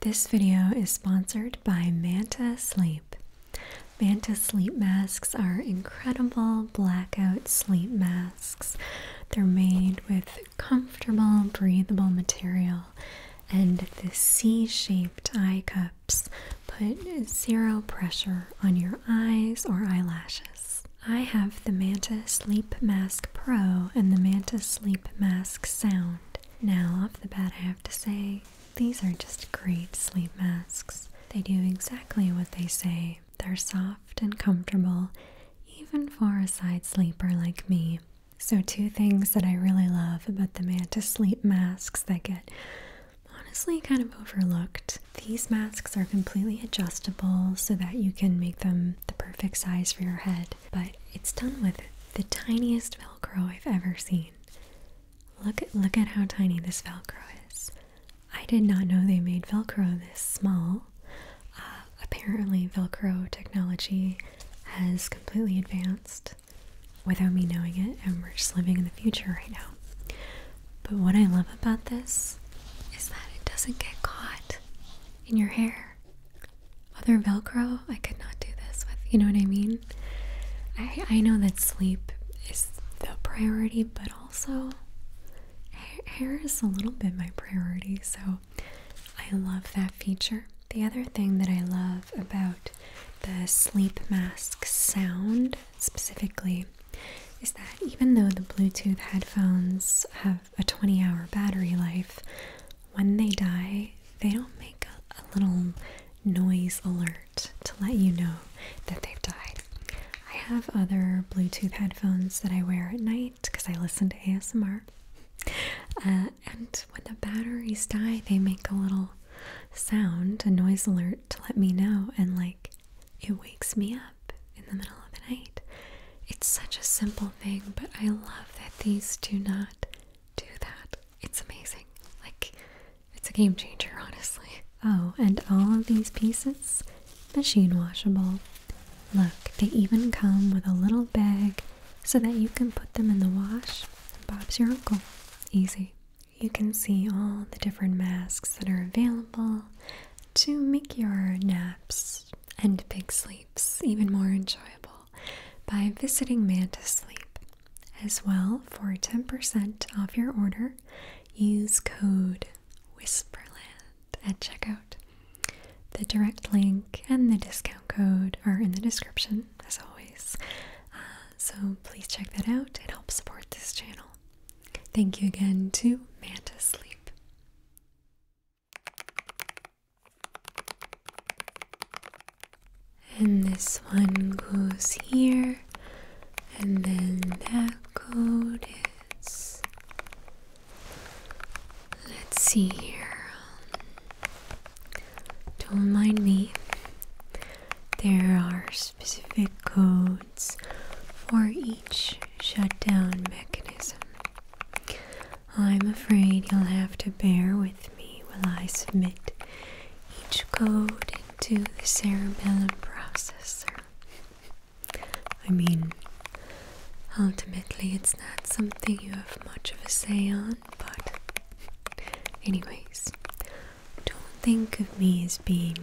This video is sponsored by Manta Sleep. Manta sleep masks are incredible blackout sleep masks. They're made with comfortable, breathable material, and the C shaped eye cups put zero pressure on your eyes or eyelashes. I have the Manta Sleep Mask Pro and the Manta Sleep Mask Sound. Now, off the bat, I have to say, these are just great sleep masks. They do exactly what they say. They're soft and comfortable, even for a side sleeper like me. So, two things that I really love about the Mantis sleep masks that get honestly kind of overlooked. These masks are completely adjustable so that you can make them the perfect size for your head but it's done with the tiniest Velcro I've ever seen. Look at look at how tiny this Velcro is. I did not know they made Velcro this small. Uh, apparently, Velcro technology has completely advanced without me knowing it, and we're just living in the future right now. But what I love about this is that it doesn't get caught in your hair other Velcro. I could not do this with, you know what I mean? I, I know that sleep is the priority, but also hair is a little bit my priority, so I love that feature. The other thing that I love about the sleep mask sound specifically is that even though the Bluetooth headphones have a 20 hour battery life, when they die, they don't make a, little noise alert to let you know that they've died. I have other Bluetooth headphones that I wear at night because I listen to ASMR. Uh, and when the batteries die, they make a little sound, a noise alert to let me know, and like it wakes me up in the middle of the night. It's such a simple thing, but I love that these do not do that. It's amazing. Like, it's a game changer, honestly. Oh, and all of these pieces, machine washable. Look, they even come with a little bag so that you can put them in the wash. Bob's your uncle. Easy. You can see all the different masks that are available to make your naps and big sleeps even more enjoyable by visiting Mantis Sleep. As well, for 10% off your order, use code Whisperland at checkout. The direct link and the discount code are in the description, as always. Uh, so please check that out. It helps support this channel. Thank you again to Mantis Sleep. And this one goes here, and then that code is. Let's see here. Don't mind me. There are specific codes for each shutdown mechanism. I'm afraid you'll have to bear with me while I submit each code to the cerebellum processor. I mean, ultimately, it's not something you have much of a say on, but, anyways, don't think of me as being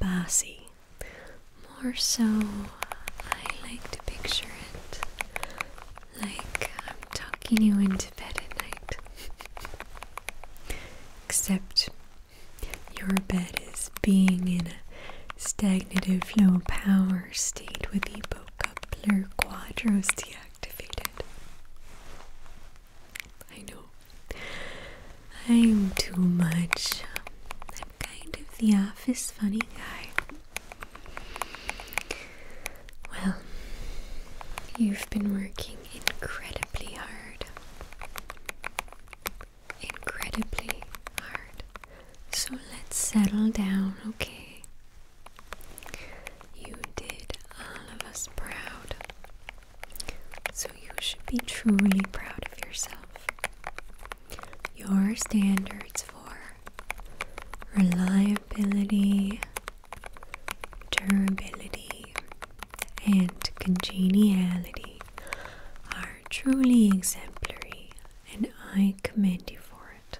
bossy. More so I like to picture it like I'm talking you into bed at night. Except your bed is being in a stagnative low power state with EPO coupler quadros deactivated. I know. I'm too much. I'm kind of the office funny guy. Well, you've been working incredibly hard. Incredibly hard. So let's settle down, okay? You did all of us proud. So you should be truly proud of yourself. Your standards for reliability, durability, and congeniality are truly exemplary, and I commend you for it.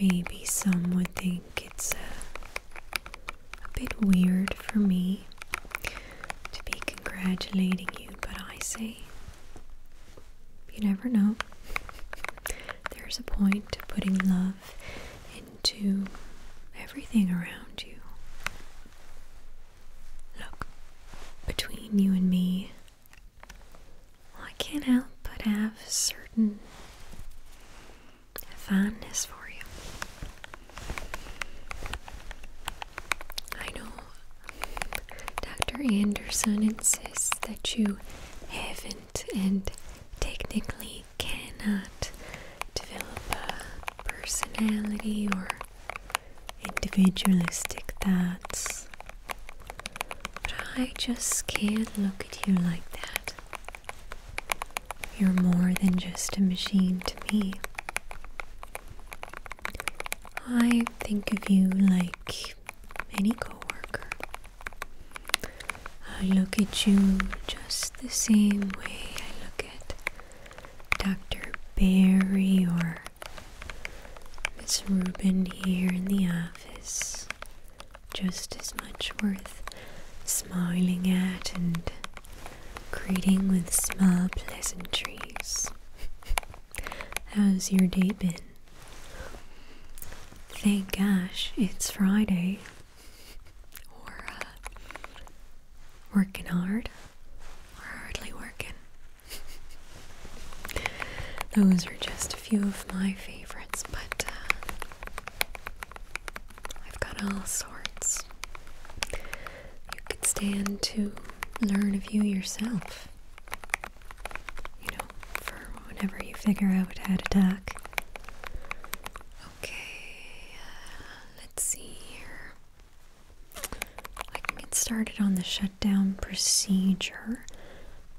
Maybe some would think it's a, bit weird for me to be congratulating you, but I say you never know. There's a point to putting love into everything around you. Look, between you and me, I can't help but have a certain fondness for you. I know Dr. Anderson insists that you haven't and technically cannot develop a personality or individualistic thoughts. But I just can't look at you like that. You're more than just a machine to me. I think of you like any coworker. I look at you just the same way I look at Dr. Barry or Miss Rubin here in the office. Just as much worth smiling at and greeting with small pleasantries. How's your day been? Thank gosh it's Friday. we uh, working hard. We're hardly working. Those are just a few of my favorites, but uh, I've got all sorts. You could stand to learn of you yourself you know, for whenever you figure out how to tack. Okay, uh, let's see here. I can get started on the shutdown procedure,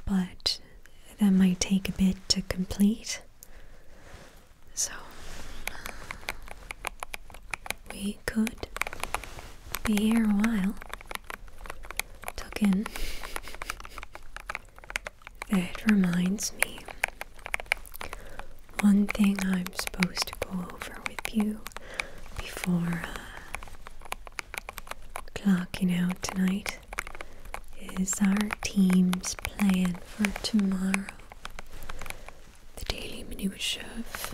but that might take a bit to complete. So, uh, we we could be here a while. Tuck in. That reminds me. One thing I'm supposed to go over with you before uh, clocking out tonight is our team's plan for tomorrow the daily minutiae of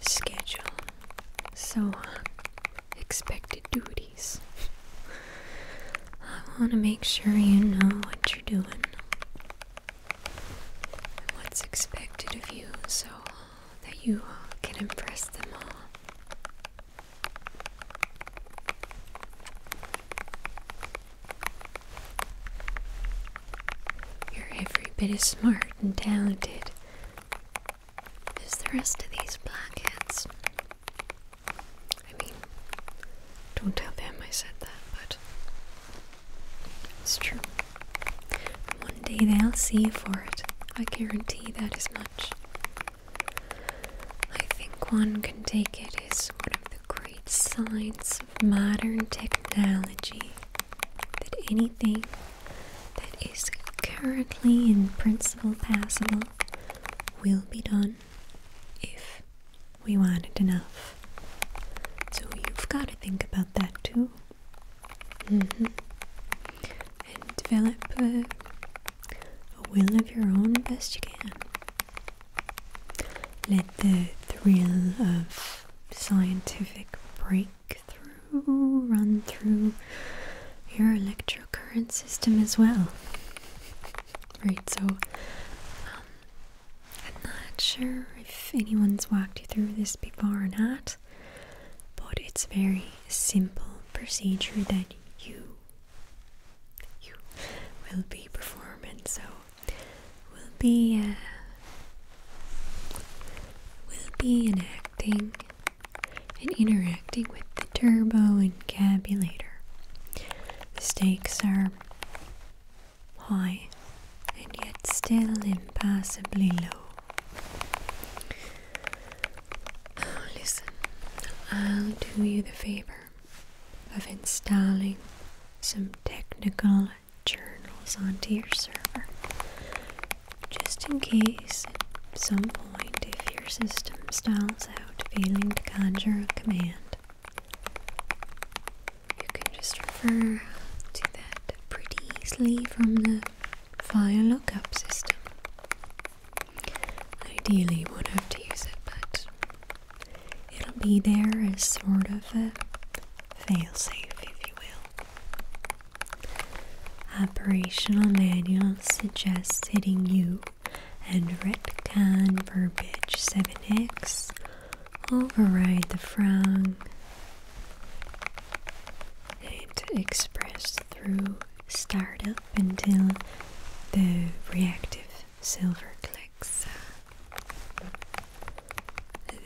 schedule, so uh, expected duties. I want to make sure you know what you're doing and what's expected of you so that you can impress them all. You're every bit as smart and talented as the rest of these blackheads. I mean, don't tell them I said that, but it's true. One day they'll see for it. I guarantee that as much. I think one can take it as one of the great signs of modern technology that anything that is currently in principle passable will be done if we want it enough. So you've got to think about that too. Mm-hmm. And develop a, will of your own best you can. Let the thrill of scientific break run through your electrocurrent system as well. Right, so um, I'm not sure if anyone's walked you through this before or not, but it's a very simple procedure that you you will be performing. So will be uh, will be enacting and interacting with the turbo and cabulator. The stakes are high and yet still impossibly low. Oh, listen, I'll do you the favor of installing some technical journals onto your server just in case at some point if your system stalls out failing to conjure a command you can just refer to that pretty easily from the file lookup system ideally you won't have to use it but it'll be there as sort of a Fail safe, if you will. Operational manual suggests hitting U and retcon verbiage 7x, override the frong, and express through startup until the reactive silver clicks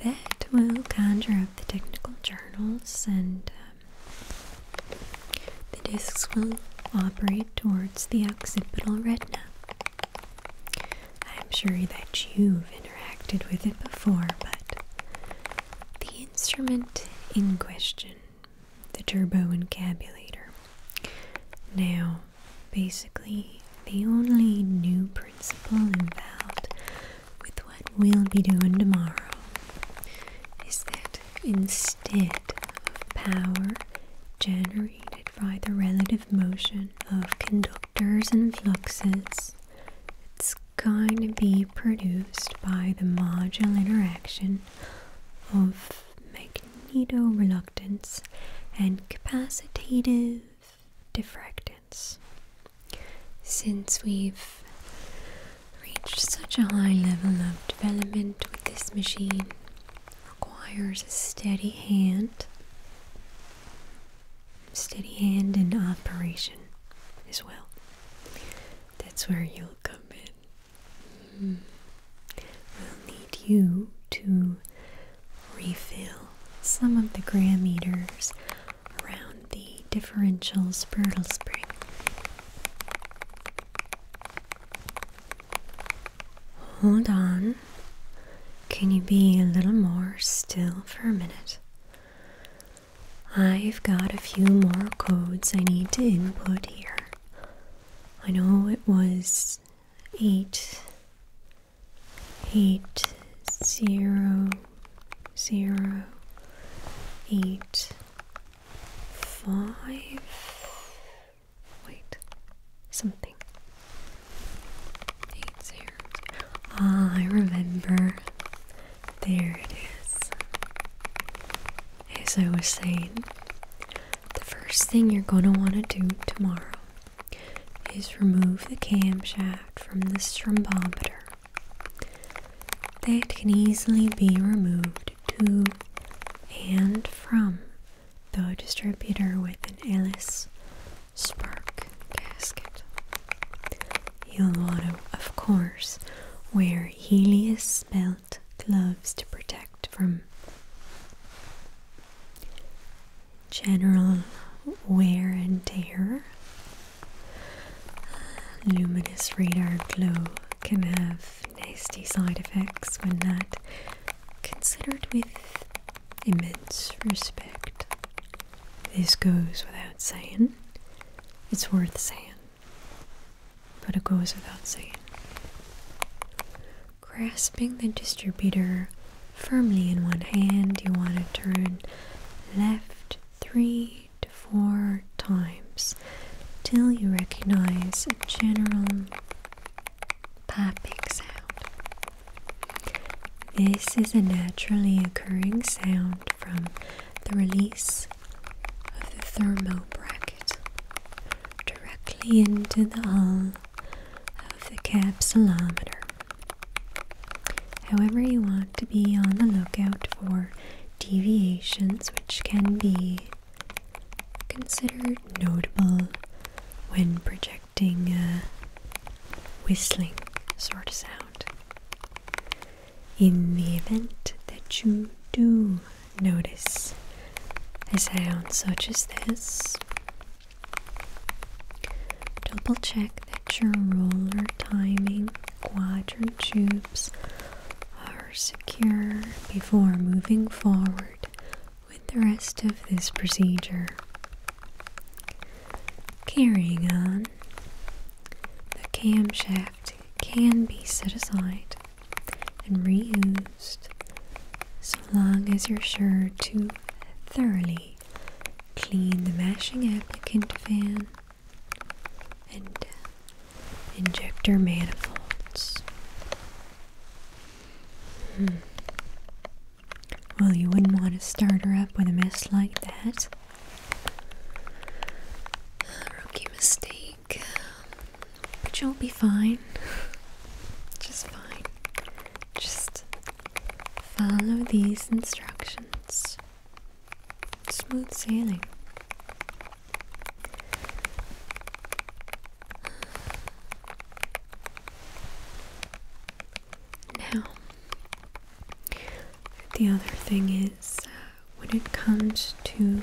that will conjure up the technical journals and um, the discs will operate towards the occipital retina. I'm sure that you've interacted with it before, but the instrument in question, the turbo turboencabulator. Now, basically, the only new principle involved with what we'll be doing tomorrow is that instead of power generated by the relative motion of conductors and fluxes, it's going to be produced by the module interaction of magnetoreluctance and capacitative diffractants. Since we've reached such a high level of development with this machine, requires a steady hand. Steady hand in operation as well. That's where you'll come in. Hmm. We'll need you to refill some of the gram meters around the differential spurtle spring. Hold on. Can you be a little more still for a minute? I've got a few more codes I need to input here. I know it was 8 eight zero zero eight five wait something eight zero ah I remember there it is as I was saying the first thing you're gonna want to do tomorrow is remove the camshaft from the strumbometer. That can easily be removed to and from the distributor with an Ellis spark gasket. You'll want to, of course, wear Helios belt gloves to protect from general wear and tear. Luminous radar glow can have nasty side effects when not considered with immense respect. This goes without saying. It's worth saying, but it goes without saying. Grasping the distributor firmly in one hand. You want to turn left three to four times till you recognize a general popping sound. This is a naturally occurring sound from the release of the thermo bracket directly into the arm of the capsulometer. However, you want to be on the lookout for deviations which can be considered notable when projecting a whistling sort of sound. In the event that you do notice a sound such as this, Double check that your roller timing quadrant tubes are secure before moving forward with the rest of this procedure. Carrying on, the camshaft can be set aside and reused so long as you're sure to thoroughly clean the mashing applicant fan and uh, injector manifolds. Hmm. Well, you wouldn't want to start her up with a mess like that. Rookie mistake. But you'll be fine. Just fine. Just follow these instructions. Smooth sailing. Now, the other thing is uh, when it comes to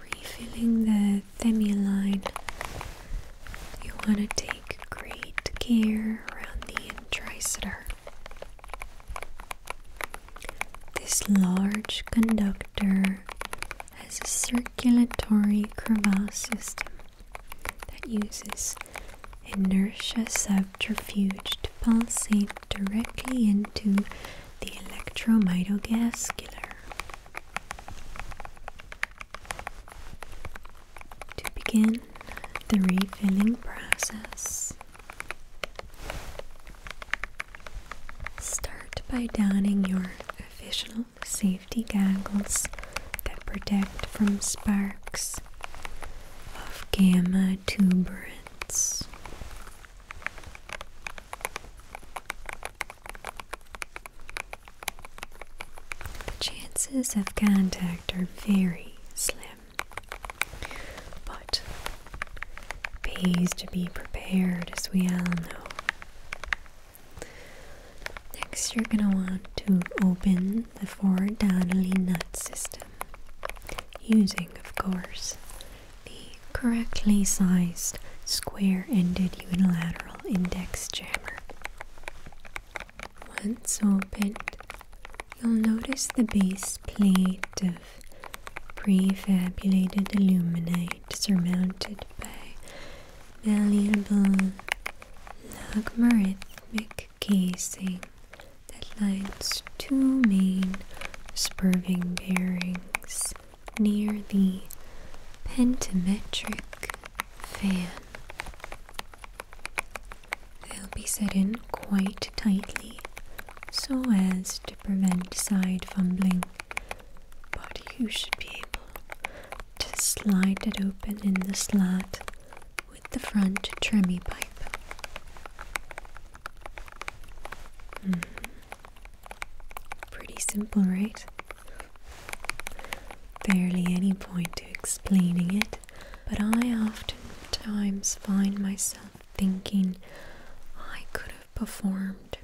refilling the Femiline, You want to take great care around the intricitor. This large conductor has a circulatory crevasse system that uses inertia subterfuge to pulsate directly into the electromytogascular. To begin the refilling process, start by donning your official safety goggles that protect from sparks of gamma tuberance. The chances of contact are very slim, but pays to be prepared as we all know. Next, you're going to want to open the Ford Donnelly nut system using, of course, the correctly sized square ended unilateral index jammer. Once opened, you'll notice the base plate of prefabricated aluminite surmounted by malleable logarithmic casing that lines two main spurving bearings near the pentametric fan. They'll be set in quite tightly so as to prevent side fumbling, but you should be able to slide it open in the slot with the front tremie pipe. Mm-hmm. Pretty simple, right? Barely any point to explaining it, but I oftentimes find myself thinking I could have performed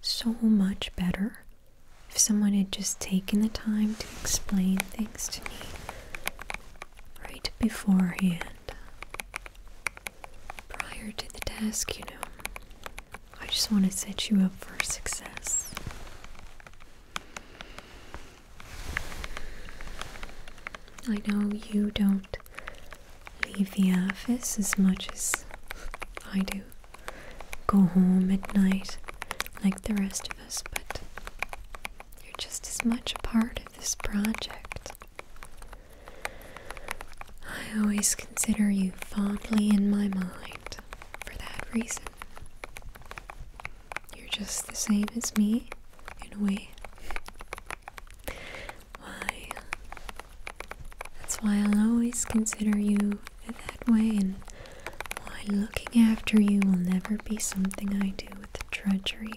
so much better if someone had just taken the time to explain things to me right beforehand prior to the task, you know. I just want to set you up for success. I know you don't leave the office as much as I do. Go home at night like the rest of us, but you're just as much a part of this project. I always consider you fondly in my mind for that reason. You're just the same as me, in a way. Why? That's why I'll always consider you that way, and why looking after you will never be something I do with drudgery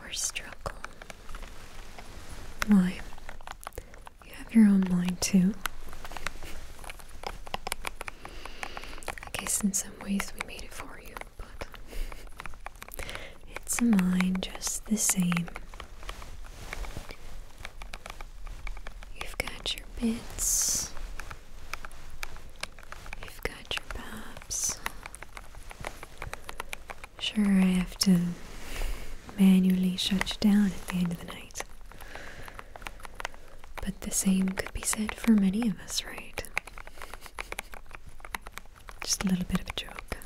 or struggle. Why? You have your own mind too. I guess in some ways we made it for you, but it's a mind just the same. You've got your bits, you've got your pops. Sure, I have to manually shut you down at the end of the night. But the same could be said for many of us, right? Just a little bit of a joke.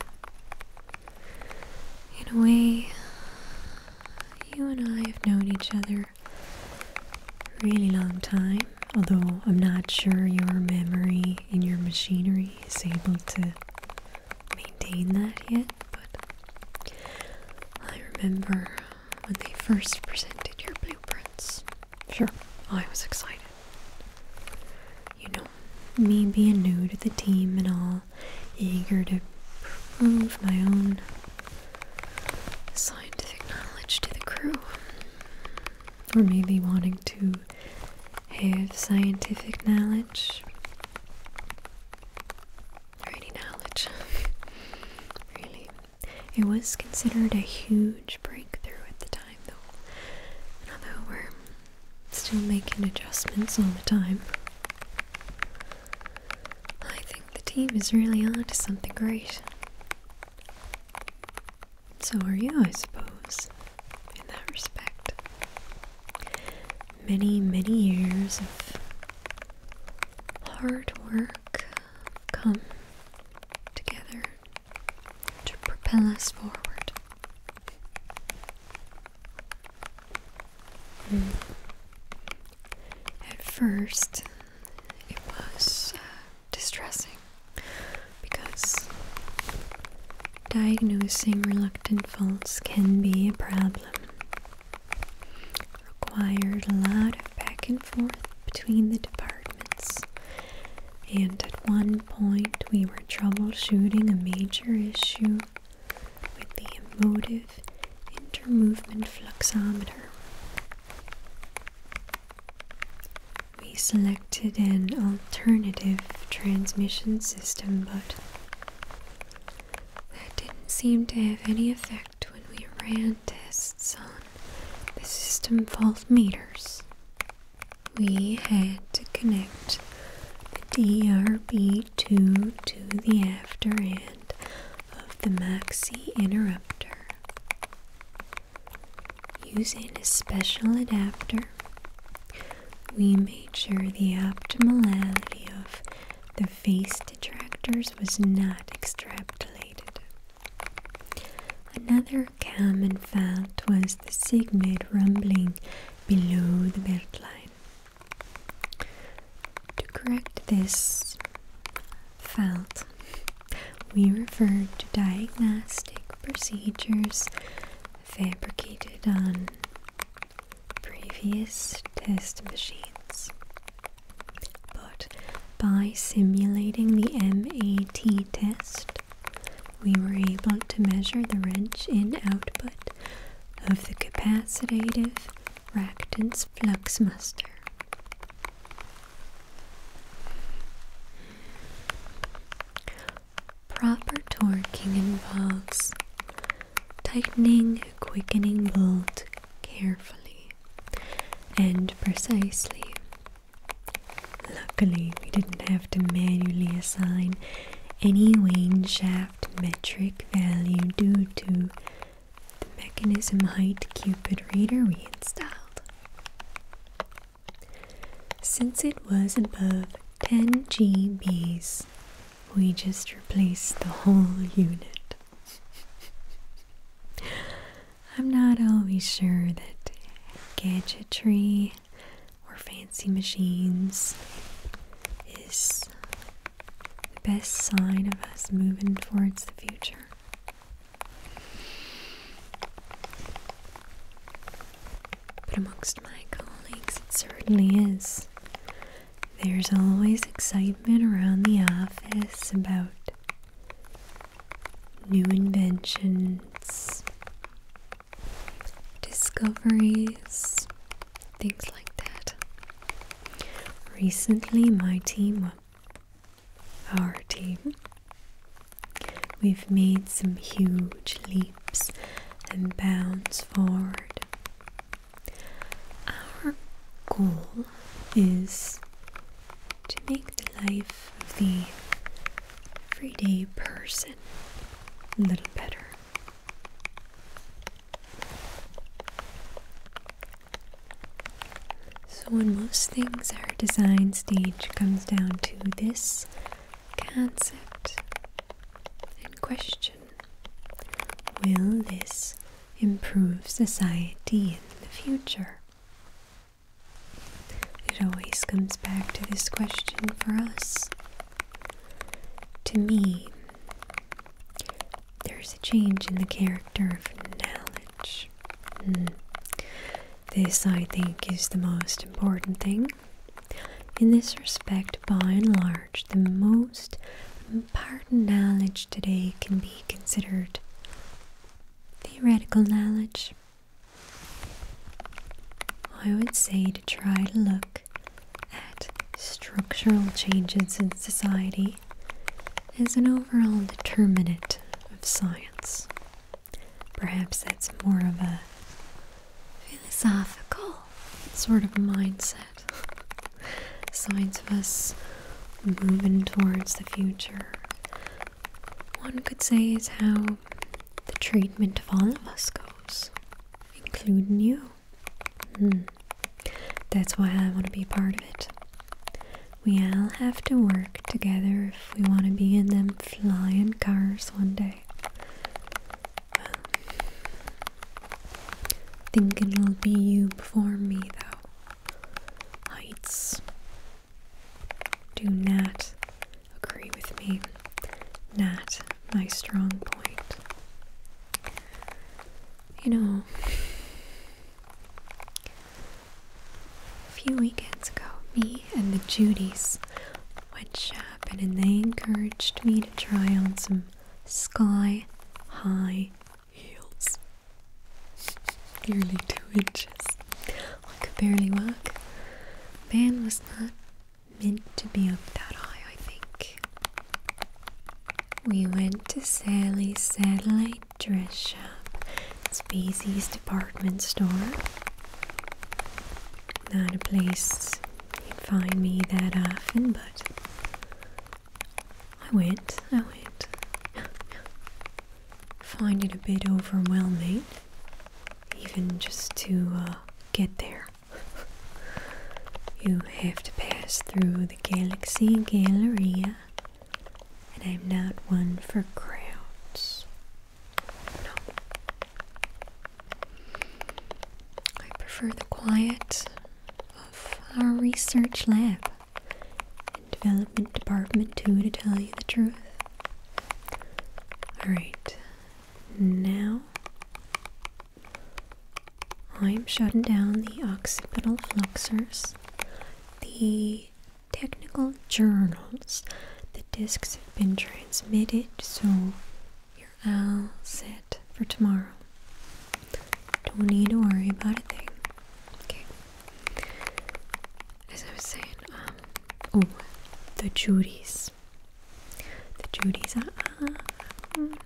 In a way, you and I have known each other a really long time, although I'm not sure your memory and your machinery is able to maintain that yet but I remember when they first presented your blueprints. Sure, I was excited. You know, me being new to the team and all, eager to prove my own scientific knowledge to the crew. Or maybe wanting to have scientific knowledge any knowledge, really. It was considered a huge breakthrough at the time, though, and although we're still making adjustments all the time, I think the team is really onto something great. So are you, I suppose, in that respect many, many years of hard work come together to propel us forward. Hmm. At first, it was uh, distressing because diagnosing reluctant faults can be a problem required a lot of back and forth between the departments, and at one point we were troubleshooting a major issue with the emotive intermovement fluxometer. We selected an alternative transmission system, but that didn't seem to have any effect when we ran tests on the system fault meters. We had to connect the DRB2 to the after end of the Maxi interrupter. Using a special adapter, we made sure the abnormality of the face detractors was not extrapolated. Another common fault was the sigmoid rumbling below the beltline. To correct this fault, we referred to diagnostic procedures fabricated on previous test machines. But by simulating the MAT test, we were able to measure the wrench in output of the capacitive reactance fluxmaster. Proper torquing involves tightening, quickening bolt carefully and precisely. Luckily, we didn't have to manually assign any wane shaft metric value due to the mechanism height Cupid reader we installed. Since it was above 10 GB's we just replaced the whole unit. I'm not always sure that gadgetry or fancy machines is the best sign of us moving towards the future but amongst my colleagues it certainly is. There's always excitement around the office about new inventions, discoveries, things like that. Recently, my team, our team, we've made some huge leaps and bounds forward our goal is to make the life of the everyday person a little better. So, when most things our design stage comes down to this Concept sit and question Will this improve society in the future? It always comes back to this question for us. To me, there's a change in the character of knowledge. Hmm. This, I think, is the most important thing. In this respect, by and large, the most important knowledge today can be considered theoretical knowledge. I would say to try to look at structural changes in society as an overall determinant of science. Perhaps that's more of a philosophical sort of mindset. Signs of us moving towards the future. One could say is how the treatment of all of us goes, including you. Hmm. That's why I want to be part of it. We all have to work together if we want to be in them flying cars one day. Well, think it'll be you before me, though. Heights do not agree with me. Not my strong point. You know, a few weekends ago, me and the Judys went shopping and they encouraged me try on some sky high heels. Nearly two inches. I could barely walk. Man was not meant to be up that high, I think. We went to Sally's satellite dress shop, It's Species department store. Not a place you would find me that often, but I went, I went. find it a bit overwhelming, even just to uh, get there. you have to pass through the Galaxy Gallery, and I'm not one for crowds. I prefer the quiet of our research lab and development department, too, to tell you the truth. Alright, now I'm shutting down the occipital flexors, the technical journals. The discs have been transmitted, so. I'll sit for tomorrow. Don't need to worry about a thing. Okay. As I was saying, um, oh, the Judies. The Judies. Uh, uh, mm,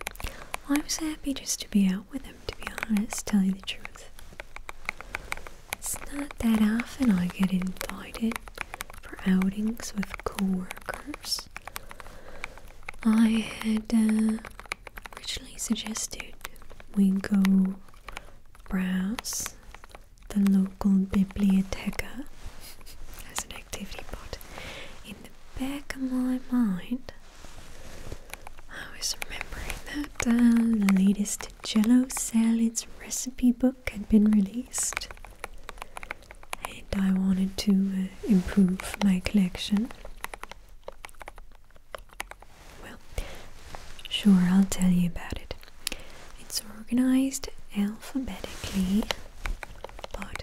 I was happy just to be out with them, to be honest, tell you the truth. It's not that often I get invited for outings with coworkers, I had uh, originally suggested we go browse the local biblioteca as an activity, but in the back of my mind, I was remembering that uh, the latest Jello salads recipe book book had been released, and I wanted to uh, improve my collection. Well, sure, I'll tell you about it. It's organized alphabetically, but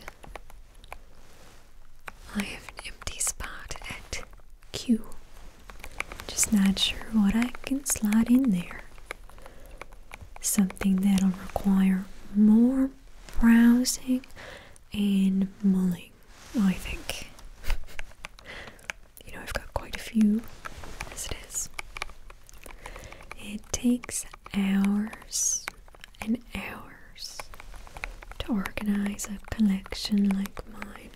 I have an empty spot at Q. Just not sure what I can slot in there something that'll require more browsing and mulling, I think. you know, I've got quite a few as it is. It takes hours and hours to organize a collection like mine.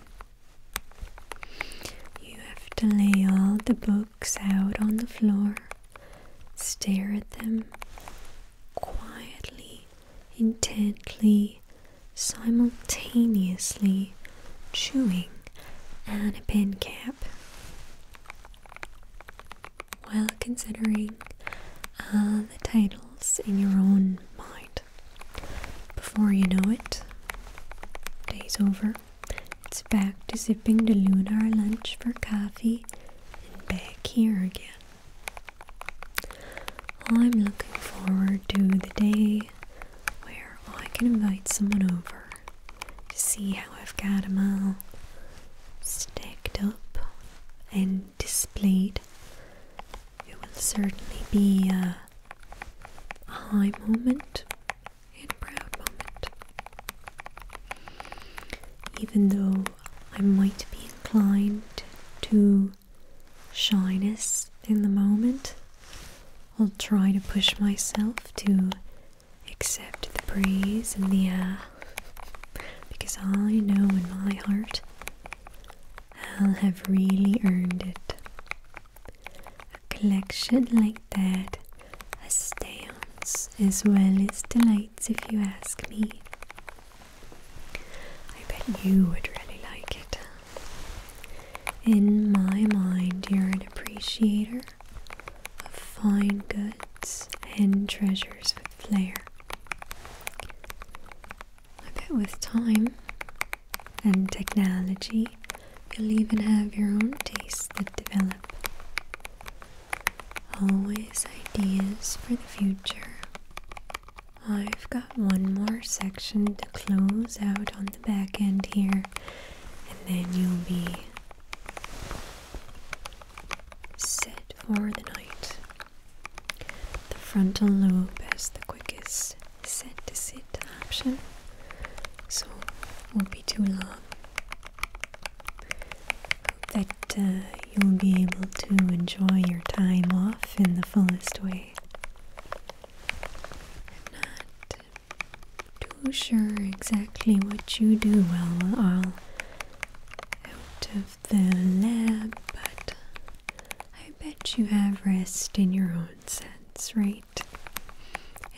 You have to lay all the books out on the floor Stare at them quietly, intently, simultaneously chewing and a pen cap while considering uh, the titles in your own mind. Before you know it, day's over. It's back to sipping the lunar lunch for coffee and back here again. I'm looking forward to the day where I can invite someone over to see how I've got them all stacked up and displayed. It will certainly be a high moment and proud moment. Even though I might be inclined to shyness in the moment, I'll try to push myself to accept the praise and the air because I know in my heart I'll have really earned it. A collection like that a stance as well as delights, if you ask me. I bet you would really like it. In my mind, you're an appreciator of fine goods and treasures with flair. I bet with time and technology You'll even have your own tastes that develop. Always ideas for the future. I've got one more section to close out on the back end here, and then you'll be set for the night. The frontal lobe has the quickest set to sit option, so won't be too long. Hope that uh, you'll be able to enjoy your time off in the fullest way. I'm not too sure exactly what you do well all out of the lab, but I bet you have rest in your own sense, right?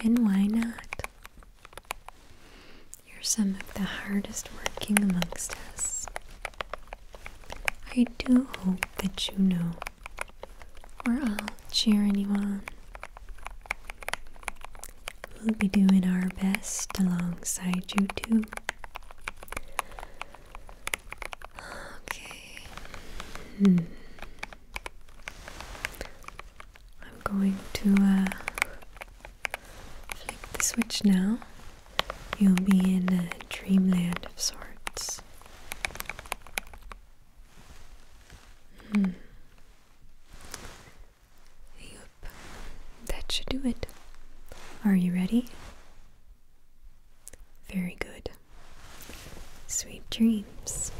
And why not? You're some of the hardest working amongst us. I do hope that you know or I'll cheer you on. We'll be doing our best alongside you, too. Okay. Hmm. I'm going to uh, flick the switch now. You'll be in a dreamland of sorts. Hmm. Yup. That should do it. Are you ready? Very good. Sweet dreams.